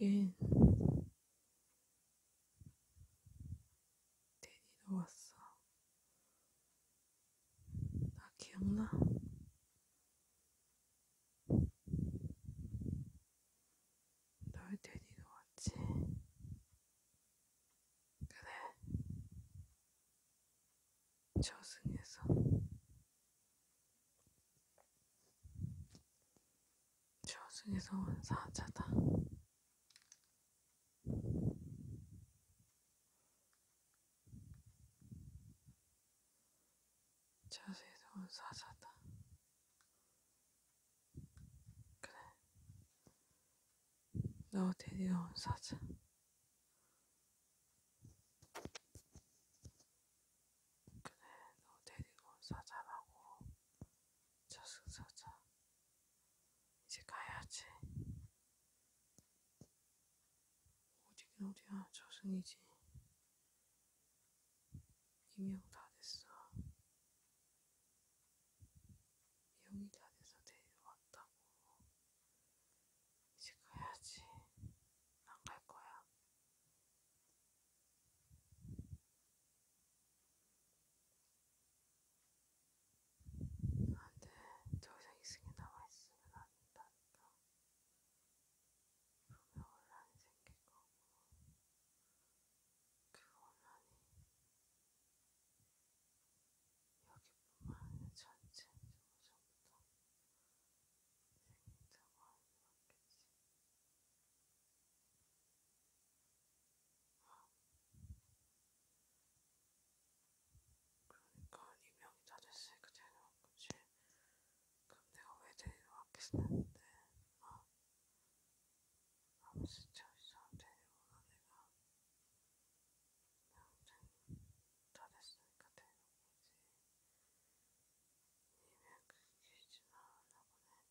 여기엔 테니 넣었어. 나 기억나? 널 데리러 왔지. 그래. 저승에서. 저승에서 온 사자다. 자세히 온 사자다. 그래. 너 데리러 온 사자. 그래, 너 데리러 온 사자라고. 저승 사자. 이제 가야지. 어디긴 어디야 저승이지 이명 다 됐어 미용이 다 돼서 데려왔다고 이제 가야지 안 갈 거야 나한테 더 이상 이승이 남아있으면 안 된다니까. 분명 혼란이 생길 거고, 그 혼란이 여기뿐만 아니라 전체적으로 전부 다 생긴다고 하는 게 맞겠지. 아, 그러니까 이명이 다 됐으니까 데리러 온 거지. 그럼 내가 왜 데리러 왔겠는데? 어? 아무 진짜 이상 데리러 온 애가 명생 다 됐으니까 데리러 온 거지. 이명 그게 지나나 보네. 그래,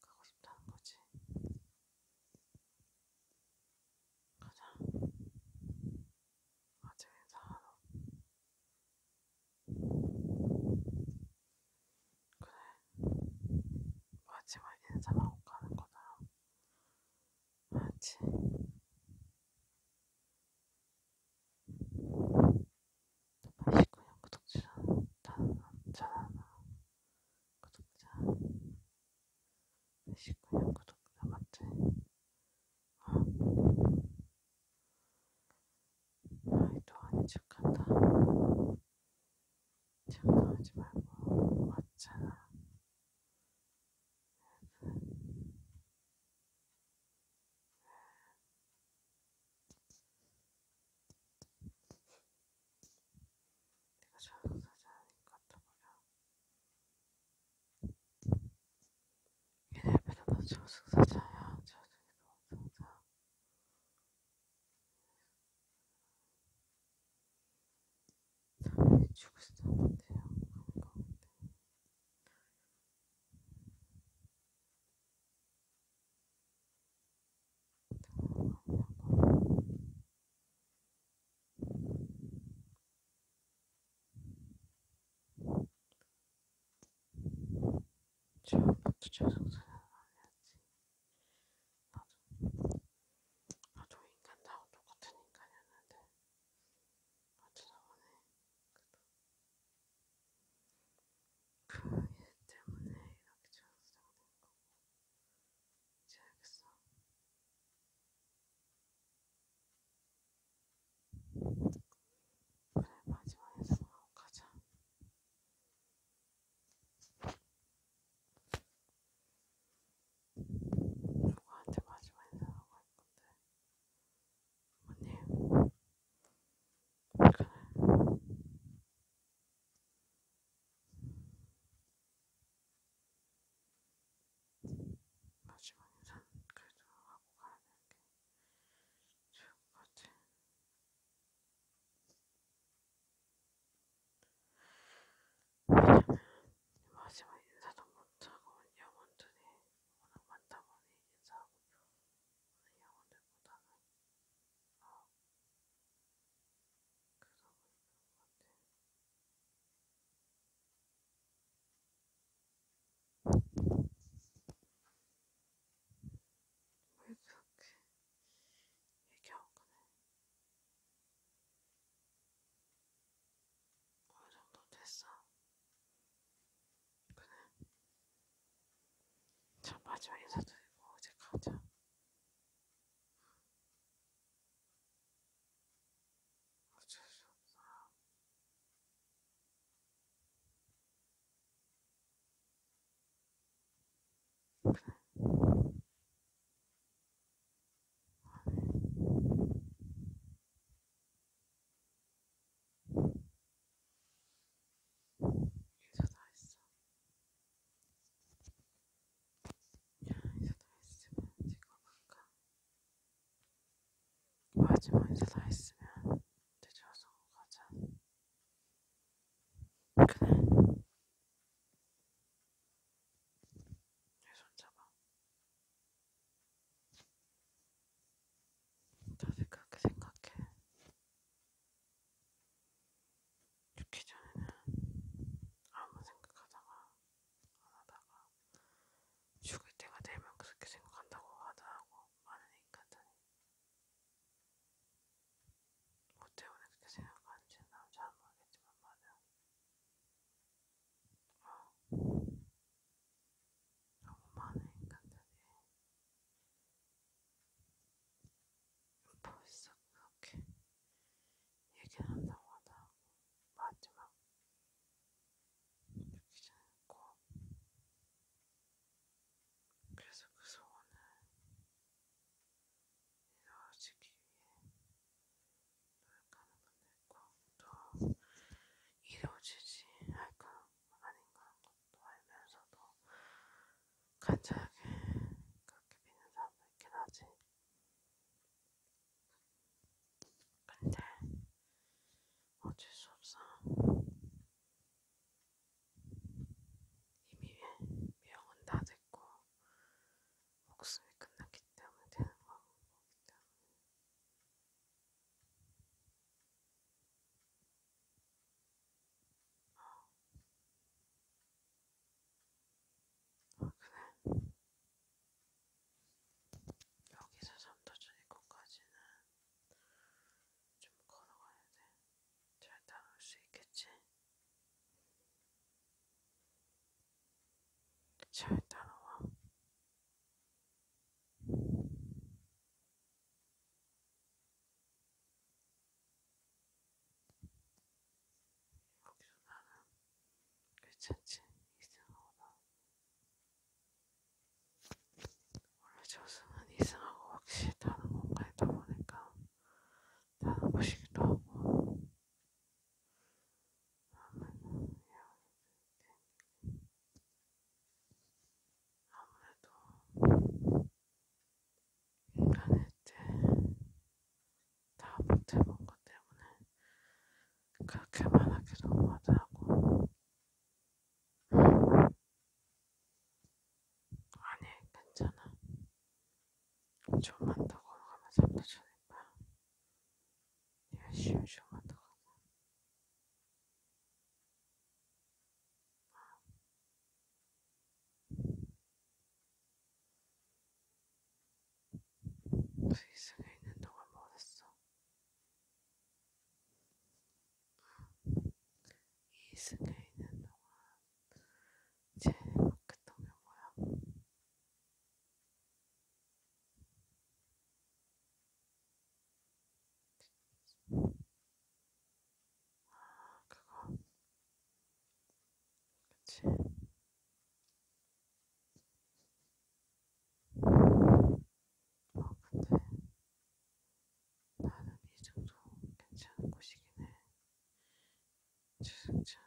가고 싶다는 거지. 가자. 아직 인사하러. 그래. 마지막 인사만 하고 가는 거다. 맞지? 89년 구독자 단전하나 구독자 89년 구독자 맞지? 어. 아이 동안이 축한다 장난하지 말고 맞잖아 내가 잘못 하지 않으니까 떠버려. 얘네 배는 너 저승사자야. 저승이 너승사 사람이 죽었어. 못해요. 그런 거 같아. 지금부터 재수없어. 나도 인간하고 똑같은 인간이었는데 어쩌다 보니 그얘 때문에 이렇게 전수장된 거고 이제 알겠어? 그래 마지막에 사망하고 가자 누구한테 마지막 인사하고 할 건데 아니에요. 마지막 인사 그래도 하고 가야 되는 게 좋을 것 같아. 왜냐면 마지막 인사도 못하고 영혼들이 워낙 많다 보니 인사하고 우리 영어들보다는 어 그러고 있는 것 같아. 왜 그렇게 얘기하고 그래? 어느 정도 됐어. 그는 참 마지막 인사도 해고 이제 가자. 어쩔 수 없어. 그는 아니, 인사 다 했어. 인사 다 했으면 찍어볼까? 마지막 인사 다 했으면 늦어서 가자. 그래. 내 손잡아. 다들 그렇게 생각해. 죽기 전에는 아무 생각하다가 안 하다가 죽을 때가 되면 그렇게 생각한다고 하더라고 많은 인간들이. 뭐 때문에 그렇게 생각하는지는 잘 모르겠지만 말이야. 너무 많은 인간들이 벌써 그렇게 얘기를 한다고 하다 마지막 느끼지 않고 그래서 그 소원을 이루어지기 위해 가는 것도 이루어지지 할까 아닌가 하는 것도 알면서도 간절하게 그렇게 믿는 사람도 있긴 하지. 근데 어쩔 수 없어. 이미 명은 다 됐고 목숨이 끝났기 때문에 되는 거기 때문에 아, 그래. 여기서 삼도전이곳까지는 좀 걸어가야 돼. 잘 따라올 수 있겠지? 잘 따라와. 거기서 나는 괜찮지 이승하고나 원래 저승은 이승하고 확실히 다른 공간에 다 보니까 나는 보시기도 하고 아무래도 인간일 때다 못해본 것 때문에 그렇게 말하기도 못하고 아니 괜찮아 좀만 더 걸어가면 잡혀주니까 내가 쉬쉬 하다가 세상에 있는 동안 뭐했어? 이 세상에 있는 동안 제일 행복했던 게 뭐야? 아, 그거. 그치. 어, 근데 나는 이 정도 괜찮은 곳이긴 해. 주승차.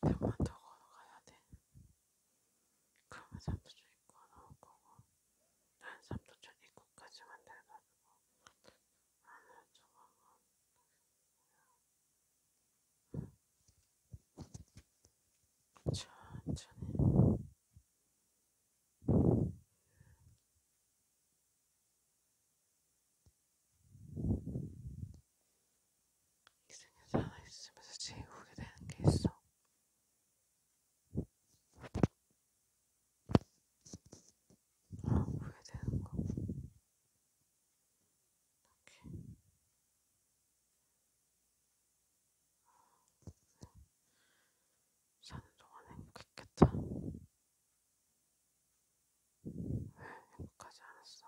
병원 타고 가야 돼. 그러면 삼도초 입고 나올 거고, 난 삼도초 입고까지만 돼가지고, 나는 저거, 천천히. 이승에 살아있으면서 채우게 되는 게 있어. 아, 보게 되는 거. 사는 동안 행복했겠다. 왜 행복하지 않았어?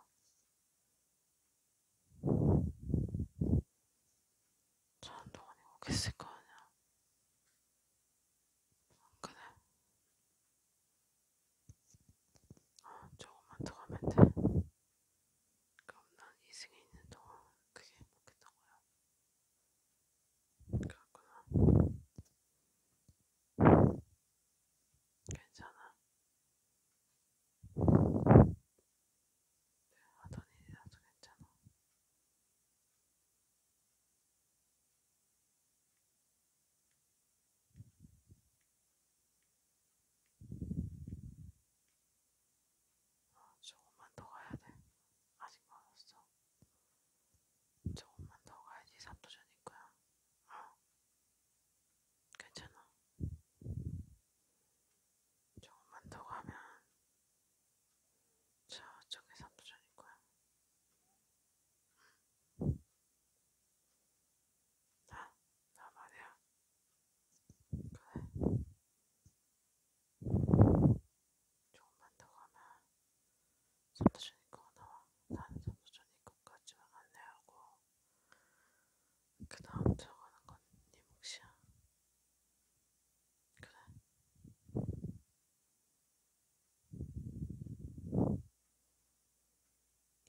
사는 동안 행복했을 거 아니야. 그래. 아, 조금만 더 가면 돼. 그럼 그러니까 난 이승에 있는 동안 그게 행복했던 거야. 그렇구나. 괜찮아. 하던 일이라도 괜찮아. 아, 조금만 더 가야 돼. 아직 멀었어. 조금만 더 가야지 3도 전일 거야. 아, 괜찮아. 조금만 더 가면 저쪽에 3도 전일 거야. 응. 나? 아, 나 말이야. 그래. 조금만 더 가면 선도전이고 나와. 나는 선도전이고까지만 안내하고 그 다음 들어가는 건네 몫이야. 그래.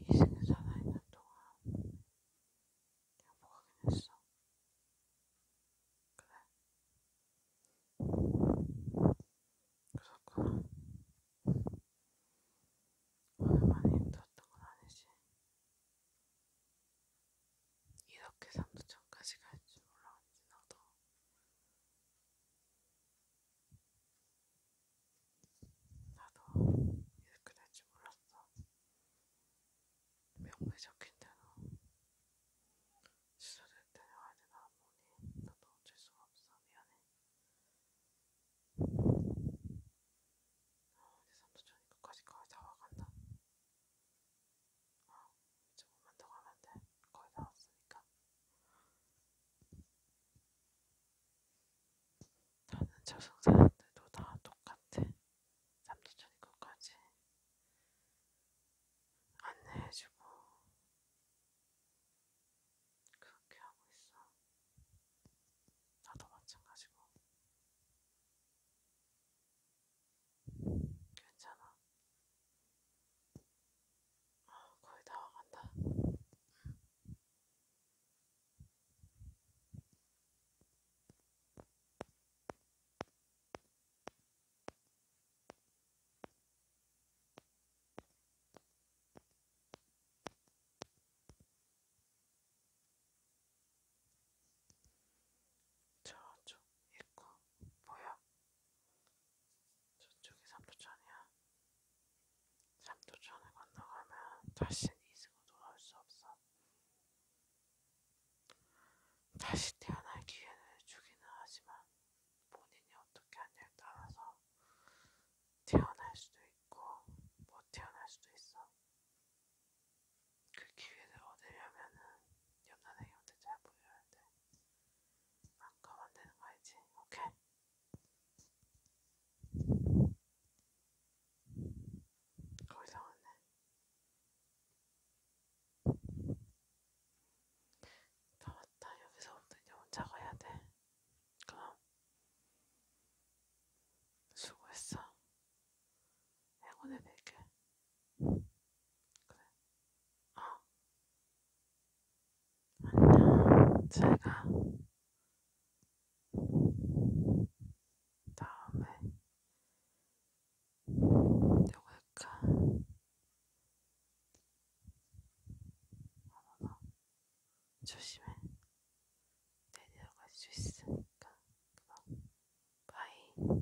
이승은 살아있는 동안 행복하긴 뭐 했어. 그래. 그렇구나. 오늘 많이 힘들었던 건 아니지. 이렇게 삼도천까지 갈줄 몰랐지, 나도. 나도 이렇게 될지 몰랐어. 명분이 적힌 대로 시설을 데려와야 되나 보니 나도 어쩔 수가 없어. 미안해. 아, 이제 삼수촌이 끝까지 거의 다 와간다. 아, 조금만 더 가면 돼. 거의 다 왔으니까. 저는 저승사자들도 다 똑같아. 삼도천이 끝까지 안내해주고 그렇게 하고 있어. 나도 마찬가지고. 괜찮아. 아, 거의 다 와간다. 응. 저쪽 있고 뭐야? 저쪽이 삼도천이야. 삼도천을 건너가면 다시 이승으로 돌아올 수 없어. 다시 태어날 기회를 주기는 하지만 본인이 어떻게 하냐에 따라서 태어날 수도 있고 못 태어날 수도 있어. 그 기회를 얻으려면은 옆나라 형들 잘 보여야 돼. 안 가면 되는 거 알지? 오케이? 거기서 오네. 다 왔다. 여기서부터 이제 혼자 가야 돼. 그럼 수고했어. 행운해낼게. 그래. 어. 안녕, 제가 다음에 누구 할까? 어머나, 조심해. 내려갈 수 있으니까. 그럼, 바이.